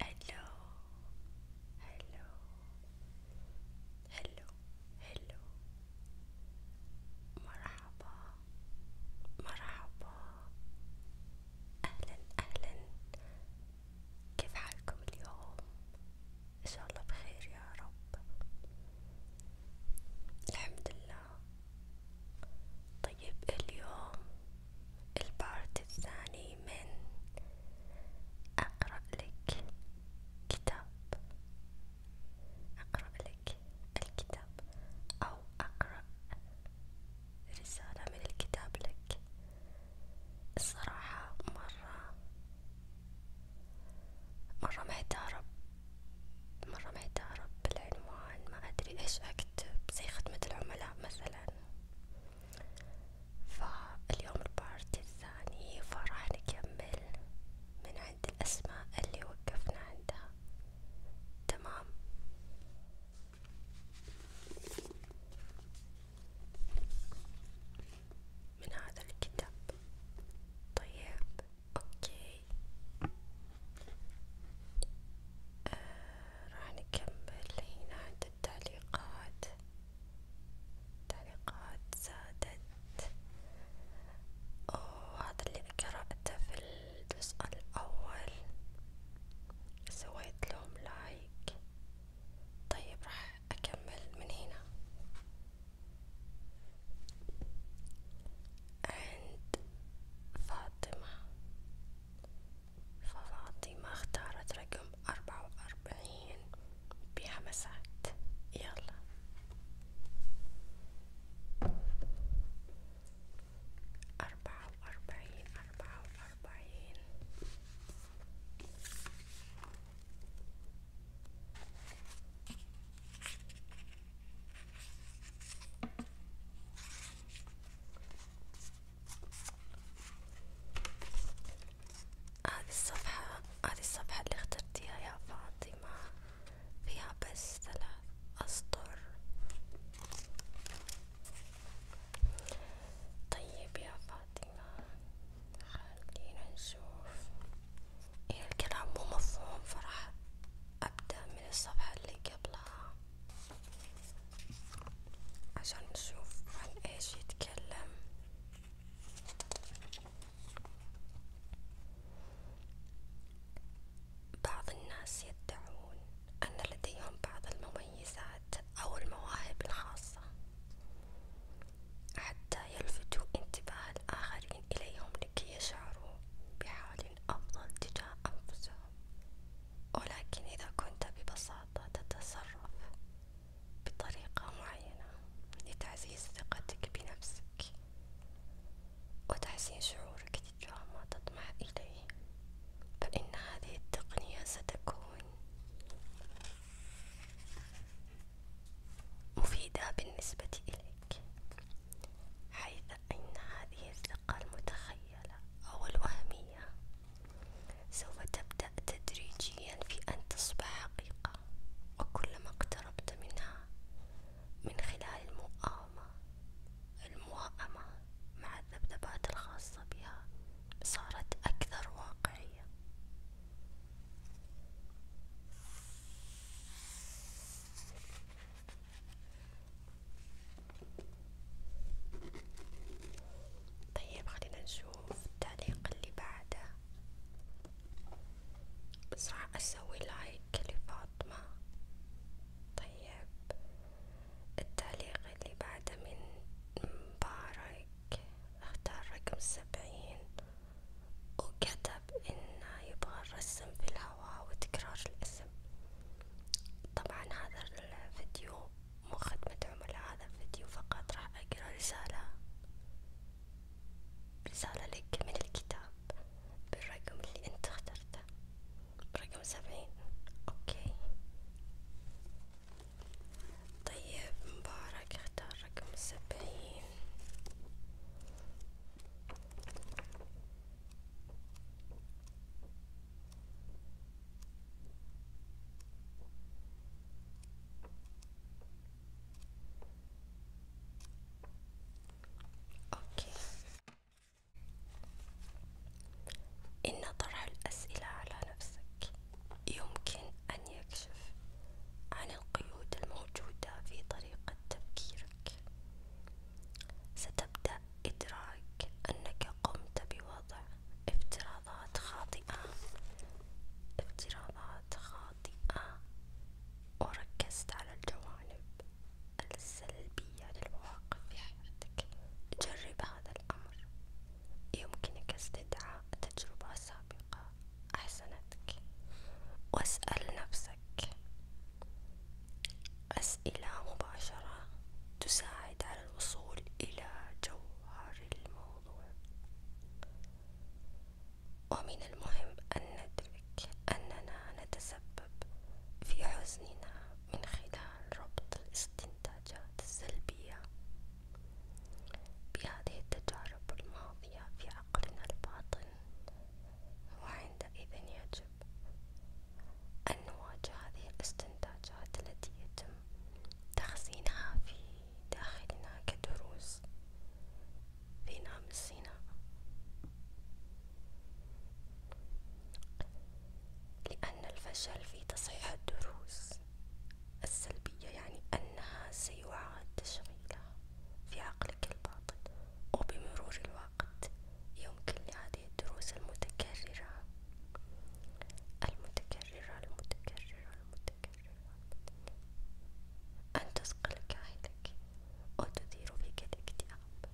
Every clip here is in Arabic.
Hello, hello, hello, hello. مرحبا, مرحبا. أهلا, أهلا. كيف حالكم اليوم؟ إن شاء الله بخير يا رب. الحمد لله. طيب اليوم البارت الثاني من أقرأ لك كتاب أقرأ لك الكتاب أو أقرأ رسالة من الكتاب لك الصراحة مرة مرة محتارة مرة محتارة بالعنوان ما أدري إيش أكتب زي خدمة العملاء مثلا فاليوم البارت الثاني فراح نكمل من عند الأسماء اللي وقفنا عندها تمام من هذا الكتاب طيب اوكي آه راح نكمل هنا عند التعليقات تعليقات زادت وهذا اللي قرأته في الجزء الأول سويت لهم لايك طيب راح أكمل من هنا عند فاطمة ففاطمة اختارت رقم أربعة وأربعين بحمسات يلا أربعة وأربعين أربعة وأربعين هذه الصفحة هذه الصفحة اللي اخترتيها يا فاطمة فيها بس ثلاث أسطر طيب يا فاطمة خلينا نشوف إذا إيه، الكلام مو مفهوم فراح أبدأ من الصفحة اللي قبلها عشان نشوف عن ايش يتكلم بعض الناس يدعون أن لديهم بعض المميزات أو المواهب الخاصة حتى يلفتوا انتباه الآخرين إليهم لكي يشعروا بحال أفضل تجاه أنفسهم، ولكن إذا كنت ببساطة ببساطة تتصرف بطريقة معينة لتعزيز ثقتك بنفسك وتحسين شعورك تجاه ما تطمح إليه فإن هذه التقنية ستكون مفيدة بالنسبة إليك حيث أن هذه الثقة المتخيلة المتخيلة أو الوهمية سوف تبدأ تدريجيا في أن تصبح حقيقة وكلما اقتربت منها من خلال المؤامة الموائمة مع الذبذبات الخاصة بها صارت أكثر واقعية طيب خلينا نشوف التعليق اللي بعده بس راح اسوي لايك لفاطمة طيب التعليق اللي بعده من مبارك اختار رقم سبعين وكتب انه يبغى الرسم في الهواء وتكرار الاسم طبعا هذا الفيديو خدمة عملاء هذا الفيديو فقط راح أقرأ رسالة رسالة لك من الكتاب بالرقم اللي أنت اخترته رقم سبعين أوكي طيب مبارك اختار رقم سبعين أوكي إن طرح الأسئلة على نفسك يمكن أن يكشف عن القيود الموجودة في طريقة تفكيرك ستبدأ إدراك أنك قمت بوضع افتراضات خاطئة افتراضات خاطئة وركزت على الجوانب السلبية للمواقف في حياتك جرب هذا الأمر يمكنك استدعاء تجربة سابقة أحسنتك واسأل نفسك أسئلة مباشرة تساعد على الوصول إلى جوهر الموضوع ومن المهم أن ندرك أننا نتسبب في حزننا من خلال ربط الاستنتاجات السلبية بهذه التجارب الماضية في عقلنا الباطن وعندئذ يجب أن نواجه هذه الاستنتاجات التي يتم تخزينها في داخلنا كدروس في ناموسنا لأن الفشل في تصحيح الدروس السلبية يعني أنها سيعاد تشغيلها في عقلك الباطن وبمرور الوقت يمكن لهذه الدروس المتكررة المتكررة المتكررة المتكررة أن تثقل كاهلك وتثير فيك الاكتئاب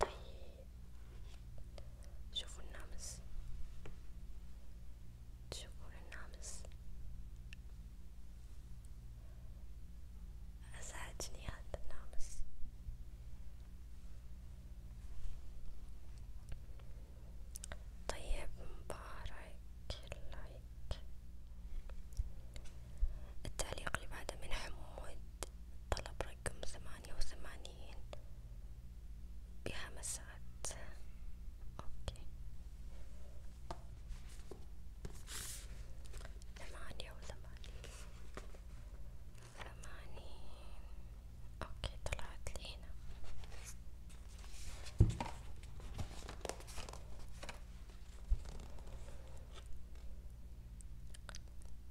طيب شوفوا النمس تشوفون النمس أزعجني هذا النمس طيب مبارك اللايك التعليق اللي بعده من حمود طلب رقم ثمانية وثمانين بخمس ساعات اوكي ثمانية وثمانين ثمانين اوكي طلعت لي هنا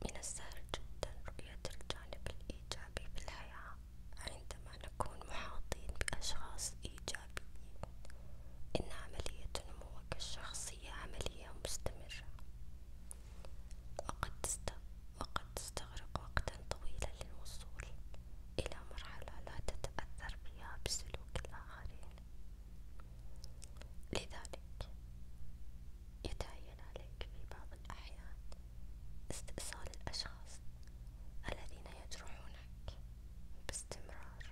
من السهل جدا رؤية الجانب الإيجابي في الحياة عندما نكون محاطين بأشخاص إيجابيين إن عملية نموك الشخصية عملية مستمرة وقد تستغرق وقتا طويلا للوصول إلى مرحلة لا تتأثر فيها بسلوك الآخرين لذلك يتعين عليك في بعض الأحيان استئصال الأشخاص الذين يجرحونك باستمرار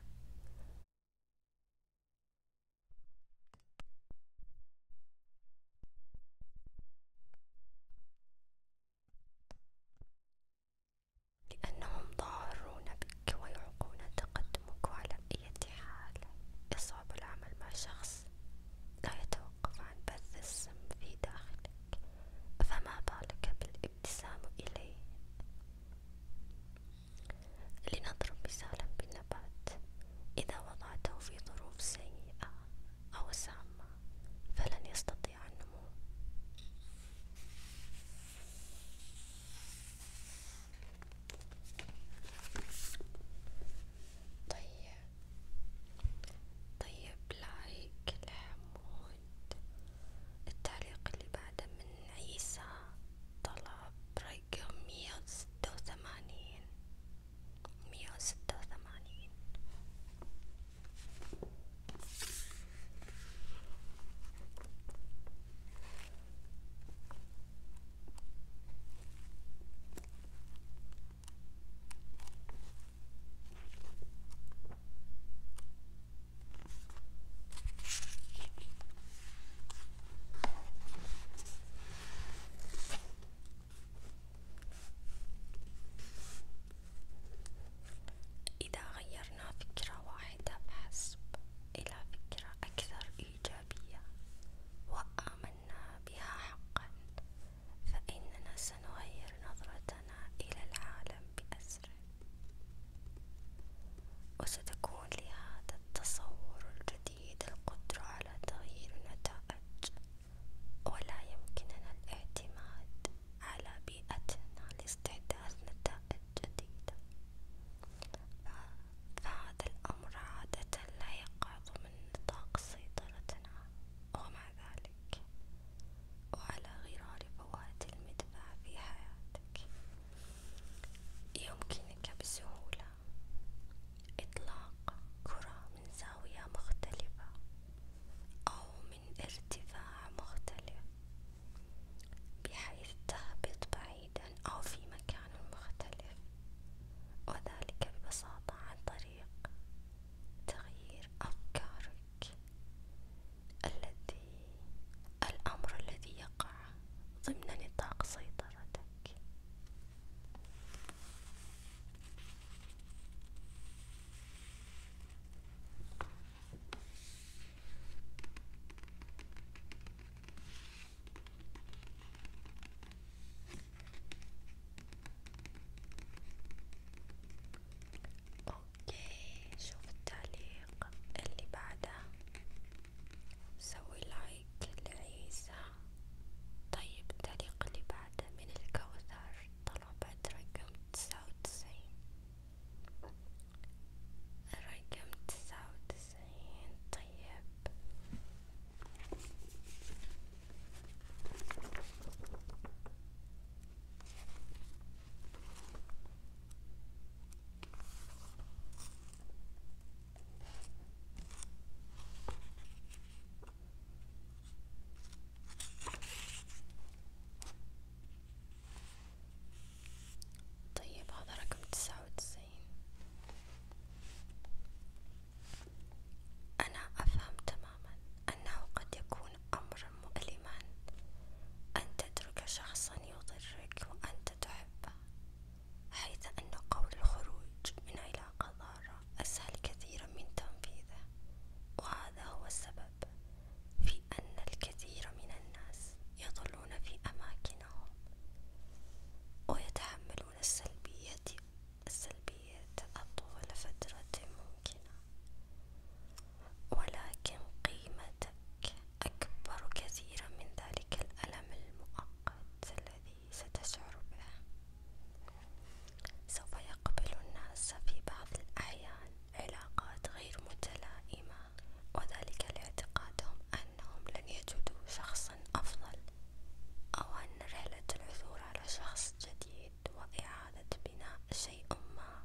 لأنهم ضارون بك ويعقون تقدمك على أي حال يصعب العمل مع شخص لا يتوقع يتوقف عن بث السم في داخلك فما بالك بالابتسام إليه لنضرب مثالا بالنبات إذا وضعته في ظروف سيئة أو سامة فلن يستطيع النمو طيب طيب لايك لحمود التعليق اللي بعده من عيسى طلب رقم مية وستة وثمانين مية وستة وثمانين إذا غيرنا فكرة واحدة فحسب إلى فكرة أكثر إيجابية وآمنا بها حقا فإننا سنغير نظرتنا إلى العالم بأسره وستكون لهذا التصور الجديد القدرة على تغيير النتائج ولا يمكننا الاعتماد على بيئتنا لاستحداث نتائج جديدة فهذا الأمر عادة لا يقع ضمن من نطاق سيطرتنا ومع ذلك وعلى غرار فوات المدفع في حياتك يمكنك بسهولة إطلاق كرة من زاوية مختلفة أو من ارتفاع مختلف بحيث تهبط بعيدا أو في مكان مختلف وذلك ببساطة عن طريق تغيير أفكارك الذي الأمر الذي يقع ضمن نطاق سيطرتك اوكي شوف التعليق اللي بعده سوي لايك لعيسى طيب التعليق اللي بعده من الكوثر طلبت رقم تسعة وتسعين رقم تسعة وتسعين طيب طيب هذا رقم تسعة وتسعين أنا أفهم تماما أنه قد يكون أمرا مؤلما أن تترك شخصا يضرك وأنت تحبه حيث أن قول الخروج من علاقة ضارة أسهل كثيرا من تنفيذه وهذا هو السبب في أن الكثير من الناس يظلون في أماكنهم ويتحملون السلبية السلبيات أطول فترة ممكنة، ولكن قيمتك أكبر كثيرا من ذلك الألم المؤقت الذي ستشعر به، سوف يقبل الناس في بعض الأحيان علاقات غير متلائمة، وذلك لاعتقادهم أنهم لن يجدوا شخصا أفضل أو أن رحلة العثور على شخص جديد وإعادة بناء شيء ما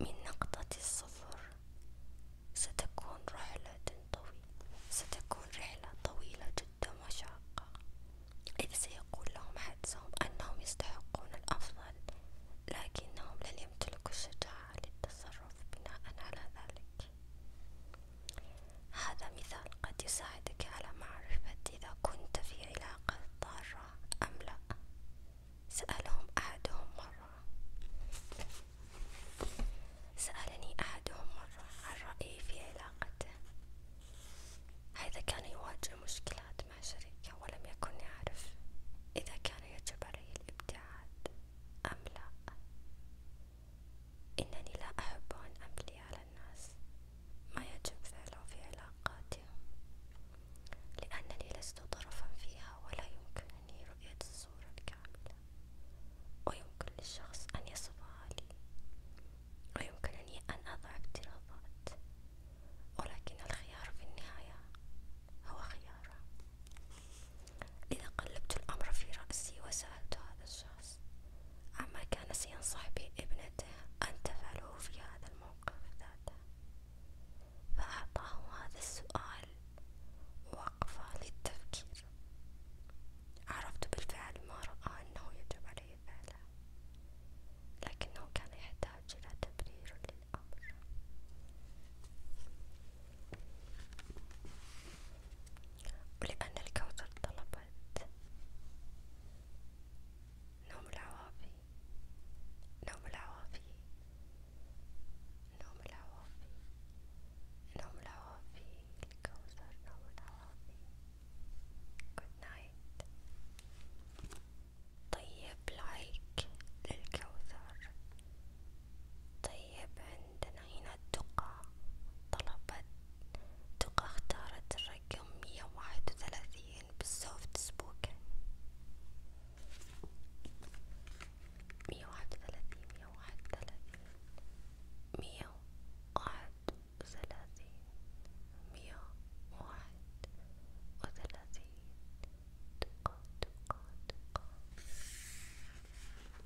من نقطة الصفر ستكون رحلة طويلة ستكون رحلة طويلة جدا وشاقة إذ سيقول لهم حدسهم أنهم يستحقون الأفضل لكنهم لن يمتلكوا الشجاعة للتصرف بناء على ذلك هذا مثال قد يساعدك على معرفة إذا كنت في علاقة ضارة أم لا سألهم أحدهم مرة سألني أحدهم مرة عن رأيي في علاقته هذا كان يواجه مشكلات مع شريكه ولم يكن يعرف إذا كان يجب عليه الابتعاد أم لا إنني لا أحب أن أملي على الناس ما يجب فعله في علاقاتي لأنني لست طرفا فيها ولا يمكنني رؤية الصورة الكاملة ويمكن للشخص أن يصفها لي ويمكنني أن أضع افتراضات ولكن الخيار في النهاية هو خياره لذا قلبت الأمر في رأسي وسألت هذا الشخص الناس أما كان ينصح بابنته أن تفعله في هذا الموقف ذاته فأعطاه هذا السؤال وقفة للتفكير عرفت بالفعل ما رأى أنه يجب عليه فعله لكنه كان يحتاج إلى تبرير للأمر ولأن الكوثر طلبت نوم العوافي نوم العوافي نوم العوافي نوم العوافي الكوثر نوم العوافي Good night طيب لايك للكوثر طيب عندنا هنا تقى طلبت تقى اختارت الرقم مية وواحد وثلاثين بالسوفت سبوكن مية واحد وثلاثين مية واحد وثلاثين مية واحد وثلاثين مية واحد وثلاثين تقى تقى تقى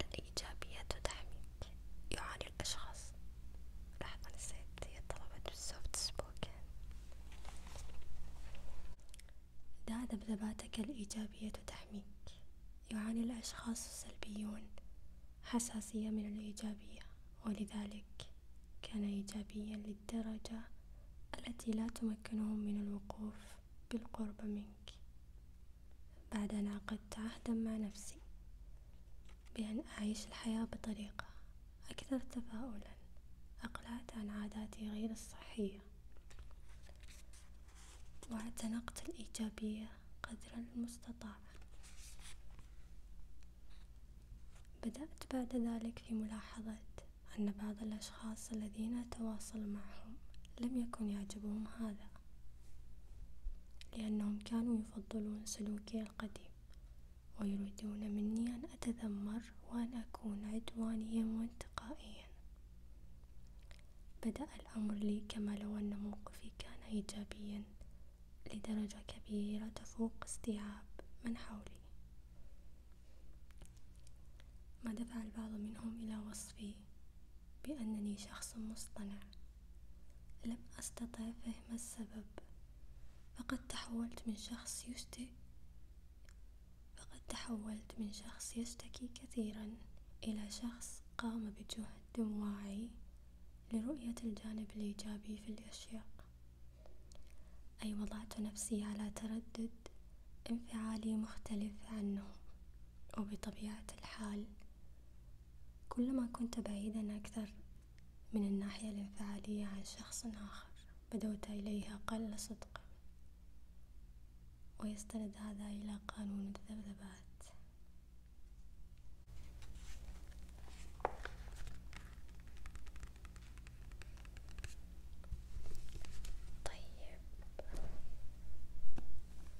الإيجابية تدعمك الإيجابية تدعمك يعاني الأشخاص السلبيون حساسية من الإيجابية ولذلك كان إيجابيا للدرجة التي لا تمكنهم من الوقوف بالقرب منك بعد أن عقدت عهدا مع نفسي بأن أعيش الحياة بطريقة أكثر تفاؤلا أقلعت عن عاداتي غير الصحية واعتنقت الإيجابية قدر المستطاع بدأت بعد ذلك في ملاحظة أن بعض الأشخاص الذين أتواصل معهم لم يكن يعجبهم هذا لأنهم كانوا يفضلون سلوكي القديم ويريدون مني أن أتذمر وأن أكون عدوانيا وانتقائيا بدأ الأمر لي كما لو أن موقفي كان إيجابيا لدرجة كبيرة تفوق استيعاب من حولي ما دفع البعض منهم إلى وصفي بأنني شخص مصطنع لم أستطع فهم السبب فقد تحولت من شخص يشتكي فقد تحولت من شخص يشتكي كثيرا إلى شخص قام بجهد واعي لرؤية الجانب الإيجابي في الأشياء أي وضعت نفسي على تردد انفعالي مختلف عنه وبطبيعة الحال كلما كنت بعيدا أكثر من الناحية الانفعالية عن شخص آخر بدوت إليه أقل صدقا ويستند هذا إلى قانون الذبذبات طيب.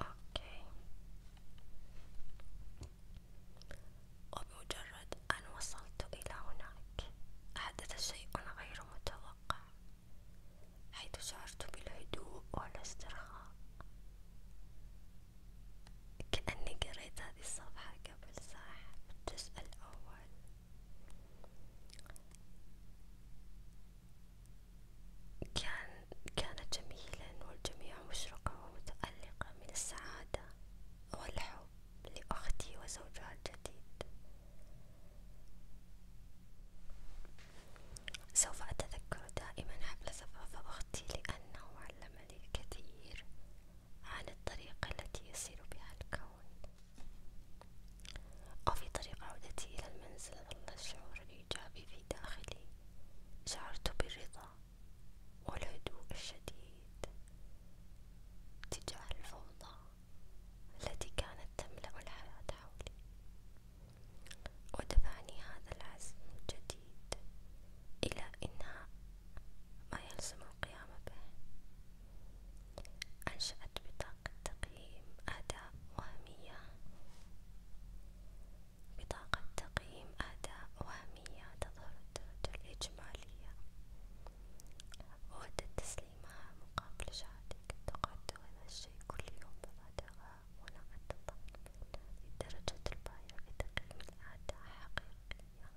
اوكي وبمجرد ان وصلت الى هناك حدث شيء غير متوقع حيث شعرت بالهدوء والاسترخاء كأني قريت هذه الصفحة قبل ساعة بالجزء الأول كان كانت جميلا والجميع مشرقة ومتألقة من السعادة والحب لأختي وزوجها الجديد سوف أتذكر دائما حفل زفاف أختي لأنه علمني الكثير عن الطريقة التي يسير بها الكون وفي طريق عودتي إلى المنزل ظل الشعور الإيجابي في داخلي، شعرت بالرضا والهدوء الشديد تجاه الفوضى التي كانت تملأ الحياة حولي، ودفعني هذا العزم الجديد إلى إنهاء ما يلزم القيام به، أنشأ جاءت بطاقة تقييم أداء وهمية بطاقة تقييم أداء وهمية تظهر الدرجة الإجمالية وودت تسليمها مقابل شهادة التقدم هذا الشيء كل يوم بضعتها ونوعا الضمن لدرجة البايع في تقييم الأداء حقيقية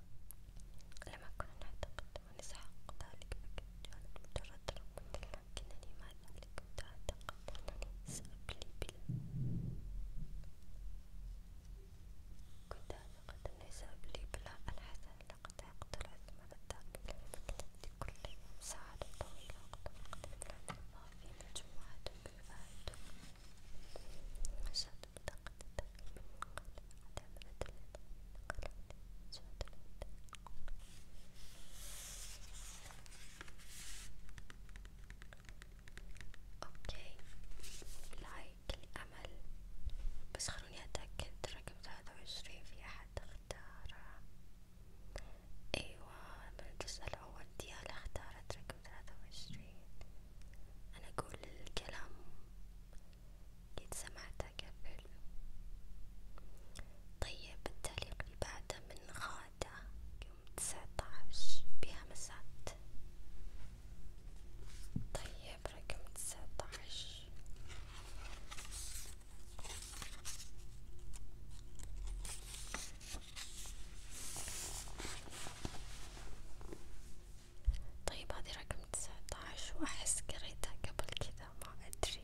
لما كنا نعتقد ونسحق ذلك فكانت مجرد رقم يمكنني مع ذلك متعتقد أنني سأبلي بلا كنت أعتقد أنني سأبلي بلا الحسن لقد يقتل عثمان الدعم في كل يوم ساعة طويلة وقد أقدم لنا في مجموعة بالفائدة مشاهد بطاقة التقديم من قبل عدم الأدلة قال سعد الهند اوكي لايك للأمل بس خلوني أتأكد رقم ثلاثة وعشرين في أحد اختار أيوة من تسأل أول ديالا اختارت رقم ثلاثة وعشرين أنا أقول الكلام قد سمعته قبل طيب التعليق اللي بعده من غادة يوم تسعتاش بهمسات طيب رقم تسعتاش طيب هذه رقم تسعتاش واحس قريتها قبل كذا ما ادري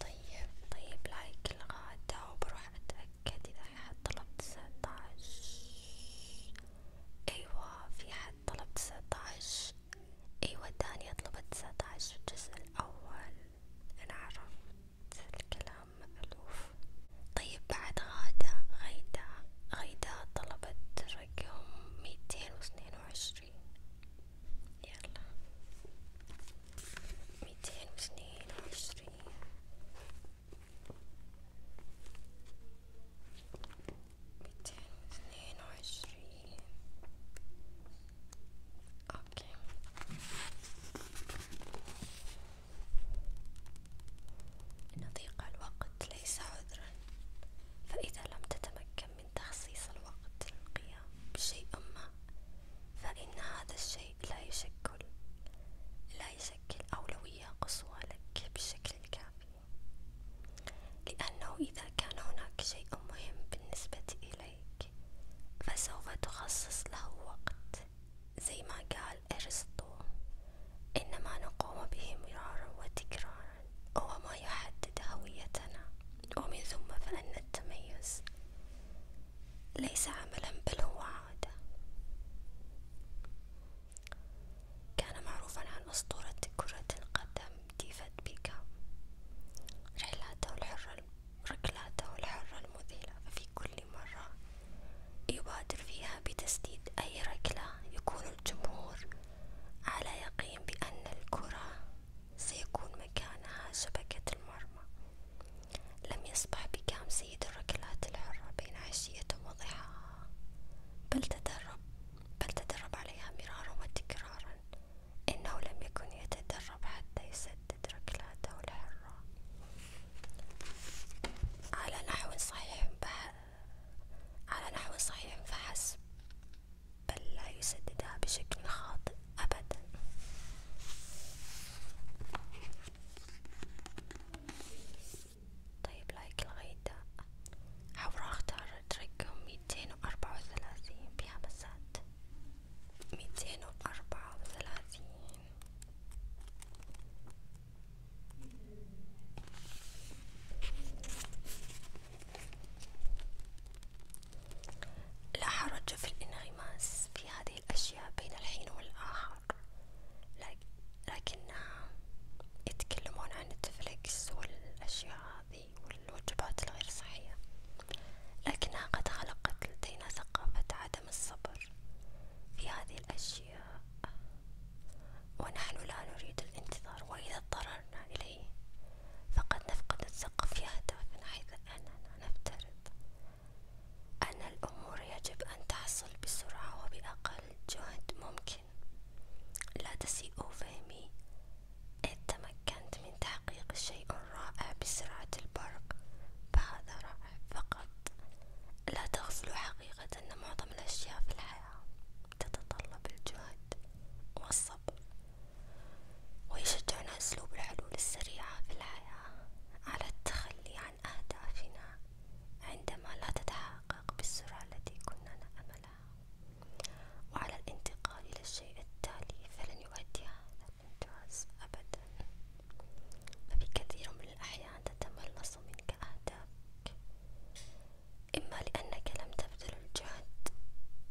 طيب طيب لايك الغدا وبروح اتأكد اذا في حد طلب تسعتاش ايوه في حد طلب تسعتاش ايوه الثانية طلبت تسعتاش الجزء الاول انا عرفت الكلام مألوف طيب بعد غادة غيدا غيدا طلبت رقم ميتين واثنين وعشرين يلا ميتين واثنين وعشرين ميتين واثنين وعشرين اوكي إن ضيق الوقت ليس عذرا فإذا لم تتمكن من تخصيص الوقت للقيام بشيء ما فإن هذا الشيء لا يشكل لا يشكل أولوية قصوى لك بالشكل الكافي لأنه إذا كان هناك شيء مهم بالنسبة إليك فسوف تخصص له وقت زي ما قال أرسطو إنما نقوم به مرارا وتكرارا هو ما يحدد هويتنا ومن ثم فإن التميز ليس عملا بل هو عادة كان معروفا عن أسطورة كرة القدم ديفيد بيكام رحلاته الحرة ركلاته الحرة المذهلة ففي كل مرة يبادر فيها بتسديد أي ركلة يكون الجمهور على يقين بأن الكرة سيكون مكانها شبكة المرمى لم يسمح بكام سيد الركلات الحرة بين عشية وضحاها بل تدرب بل تدرب عليها مرارا وتكرارا إنه لم يكن يتدرب حتى يسدد ركلاته الحرة على نحو صحيح على نحو صحيح فحسب بل لا يسددها بشكل خاطئ أبدا طيب لايك الغيدة حاول اختار رقم ميتين وأربعة وثلاثين بها مسات ميتين وأربعة وثلاثين لا حرج في الانغماس في هذه الأشياء بين الحين والآخر لكنها يتكلمون عن نتفليكس والأشياء هذه والوجبات الغير صحية لكنها قد خلقت لدينا ثقافة عدم الصبر في هذه الأشياء ونحن لا نريد الانتظار وإذا اضطررنا إليه فقد نفقد السقف يهتف من حيث أننا نفترض أن الأمور يجب أن تحصل بسرعة وبأقل جهد ممكن، لا تسيء فهمي، إذ تمكنت من تحقيق شيء رائع بسرعة البرق، فهذا رائع فقط، لا تغفلوا حقيقة أن معظم الأشياء في الحياة تتطلب الجهد والصبر ويشجعنا أسلوب الحلول السريعة في الحياة على التخلي عن أهدافنا عندما لا تتحقق بالسرعة التي كنا نأملها وعلى الانتقال إلى الشيء التالي فلن يؤدي هذا الإنجاز أبدا ففي كثير من الأحيان تتملص منك أهدافك إما لأنك لم تبذل الجهد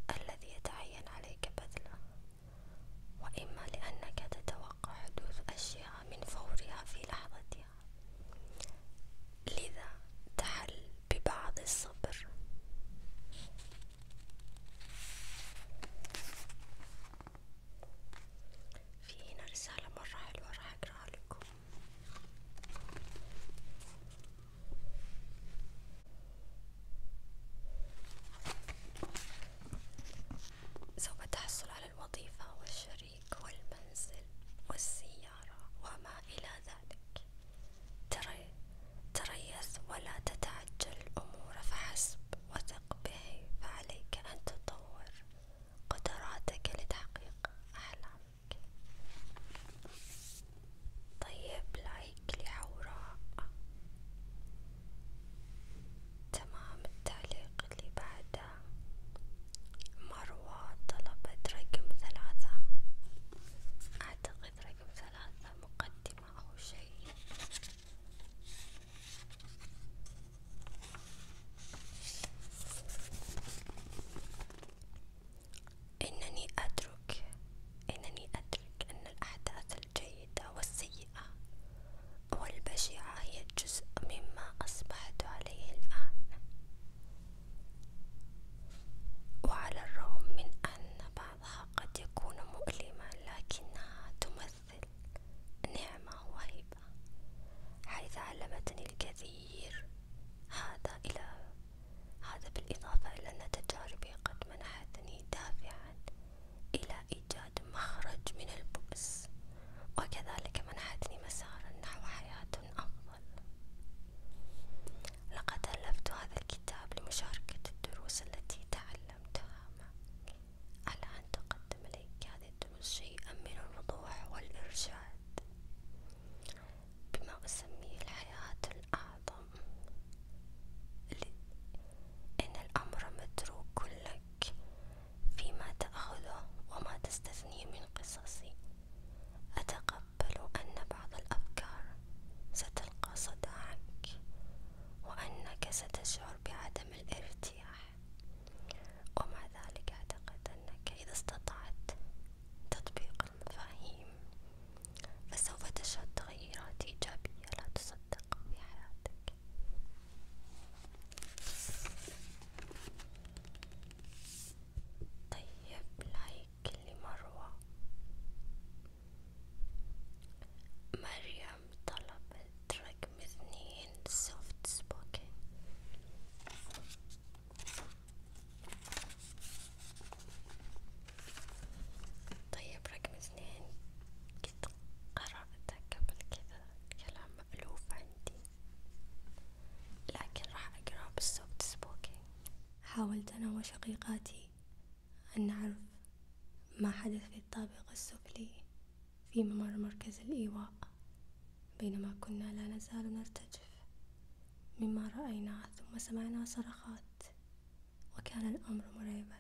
الذي يتعين عليك بذله، وإما لأنك تتوقع حدوث أشياء من فورها في لحظتها، لذا تحل ببعض الصبر. في هنا رسالة مرة حلوة راح أقرأها لكم سوف تحصل على الوظيفة والشريك والمنزل والسيارة وما إلى ذلك تريث ولا تتعجل الأمور فحسب وثق به فعليك أن تطور قدراتك لتحقيق أحلامك طيب لايك لحوراء تمام التعليق اللي بعده مروة طلبت رقم ثلاثة أعتقد رقم ثلاثة مقدمة أو شيء إنني أدرك إنني أدرك أن الأحداث الجيدة والسيئة والبشعة هي جزء مما أصبحت عليه الآن وعلى الرغم من أن بعضها قد يكون مؤلما لكنها تمثل نعمة وهبة حيث علمتني الكثير هذا إلى هذا بالإضافة إلى أن تجاربي قد منحتني دافعا إلى إيجاد مخرج من البؤس وكذلك منحتني مسارا نحو حياة أفضل لقد ألفت هذا الكتاب لمشاركة الدروس التي تعلمتها معك على أن تقدم إليك هذه الدروس شيئا من الوضوح والإرشاد بما أسميه الحياة أعظم إن الأمر متروك لك فيما تأخذه وما تستثنيه من قصصي أتقبل أن بعض الأفكار ستلقى صداعك وأنك ستشعر بعدم الارتياح ومع ذلك أعتقد أنك إذا استطعت تطبيق المفاهيم فسوف تشهد تغييرات إيجابية لا تصدق في حياتك طيب لايك لمروة مريم طلبت رقم اثنين سوفت سبوكن طيب رقم اثنين قد قبل كذا كلام مألوف عندي لكن راح أقرأه بالصوت سبوكينج حاولت أنا وشقيقاتي أن نعرف ما حدث في الطابق السفلي في ممر مركز الإيواء بينما كنا لا نزال نرتجف مما رأيناه ثم سمعنا صرخات وكان الأمر مرعبا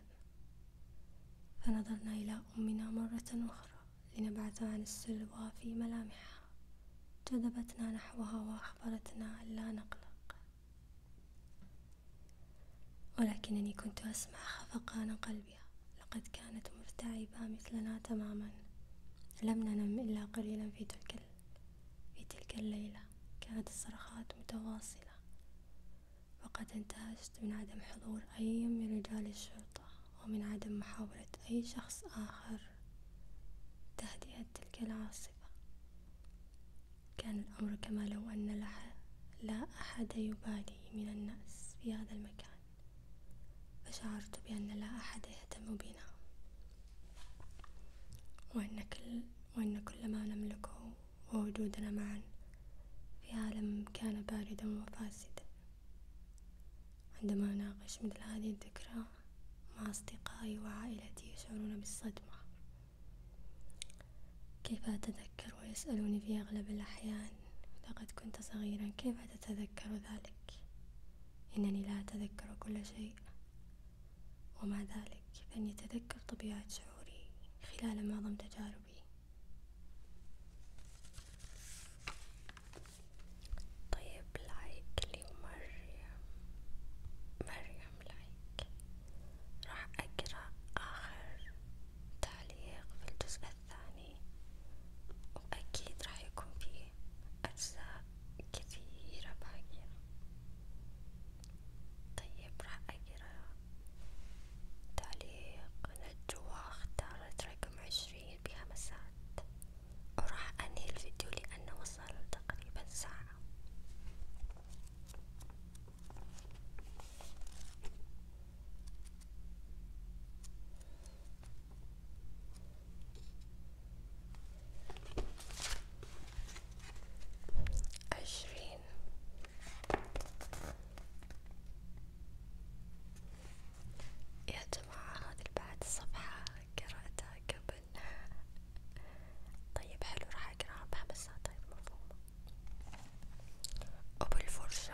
فنظرنا إلى أمنا مرة أخرى لنبعث عن السلوى في ملامحها جذبتنا نحوها وأخبرتنا ألا نقلق ولكنني كنت أسمع خفقان قلبها لقد كانت مرتعبة مثلنا تماما لم ننم إلا قليلا في تلك في تلك الليلة كانت الصرخات متواصلة وقد انتهجت من عدم حضور أي من رجال الشرطة ومن عدم محاولة أي شخص آخر تهدئة تلك العاصفة كان الأمر كما لو أن لا أحد يبالي من الناس في هذا المكان فشعرت بأن لا أحد يهتم بنا وأن كل وأن كل ما نملكه ووجودنا معا في عالم كان باردا وفاسدا عندما أناقش مثل هذه الذكرى مع أصدقائي وعائلتي يشعرون بالصدمة كيف أتذكر ويسألوني في أغلب الأحيان لقد كنت صغيرا كيف تتذكر ذلك إنني لا أتذكر كل شيء ومع ذلك فإني أتذكر طبيعة شعوري خلال معظم تجاربي طيب لايك لمريم مريم لايك راح أقرأ آخر تعليق في الجزء الثاني وأكيد راح يكون فيه أجزاء كثيرة باقية طيب راح أقرا تعليق نجوى اختارت رقم عشرين بخمسات وراح أنهي الفيديو لأنه وصل تقريبا ساعة عشرين يا جماعة هذه بعد الصفحة قرأتها قبل طيب حلو راح أقرأها بحمسها طيب مفهومة وبالفرشة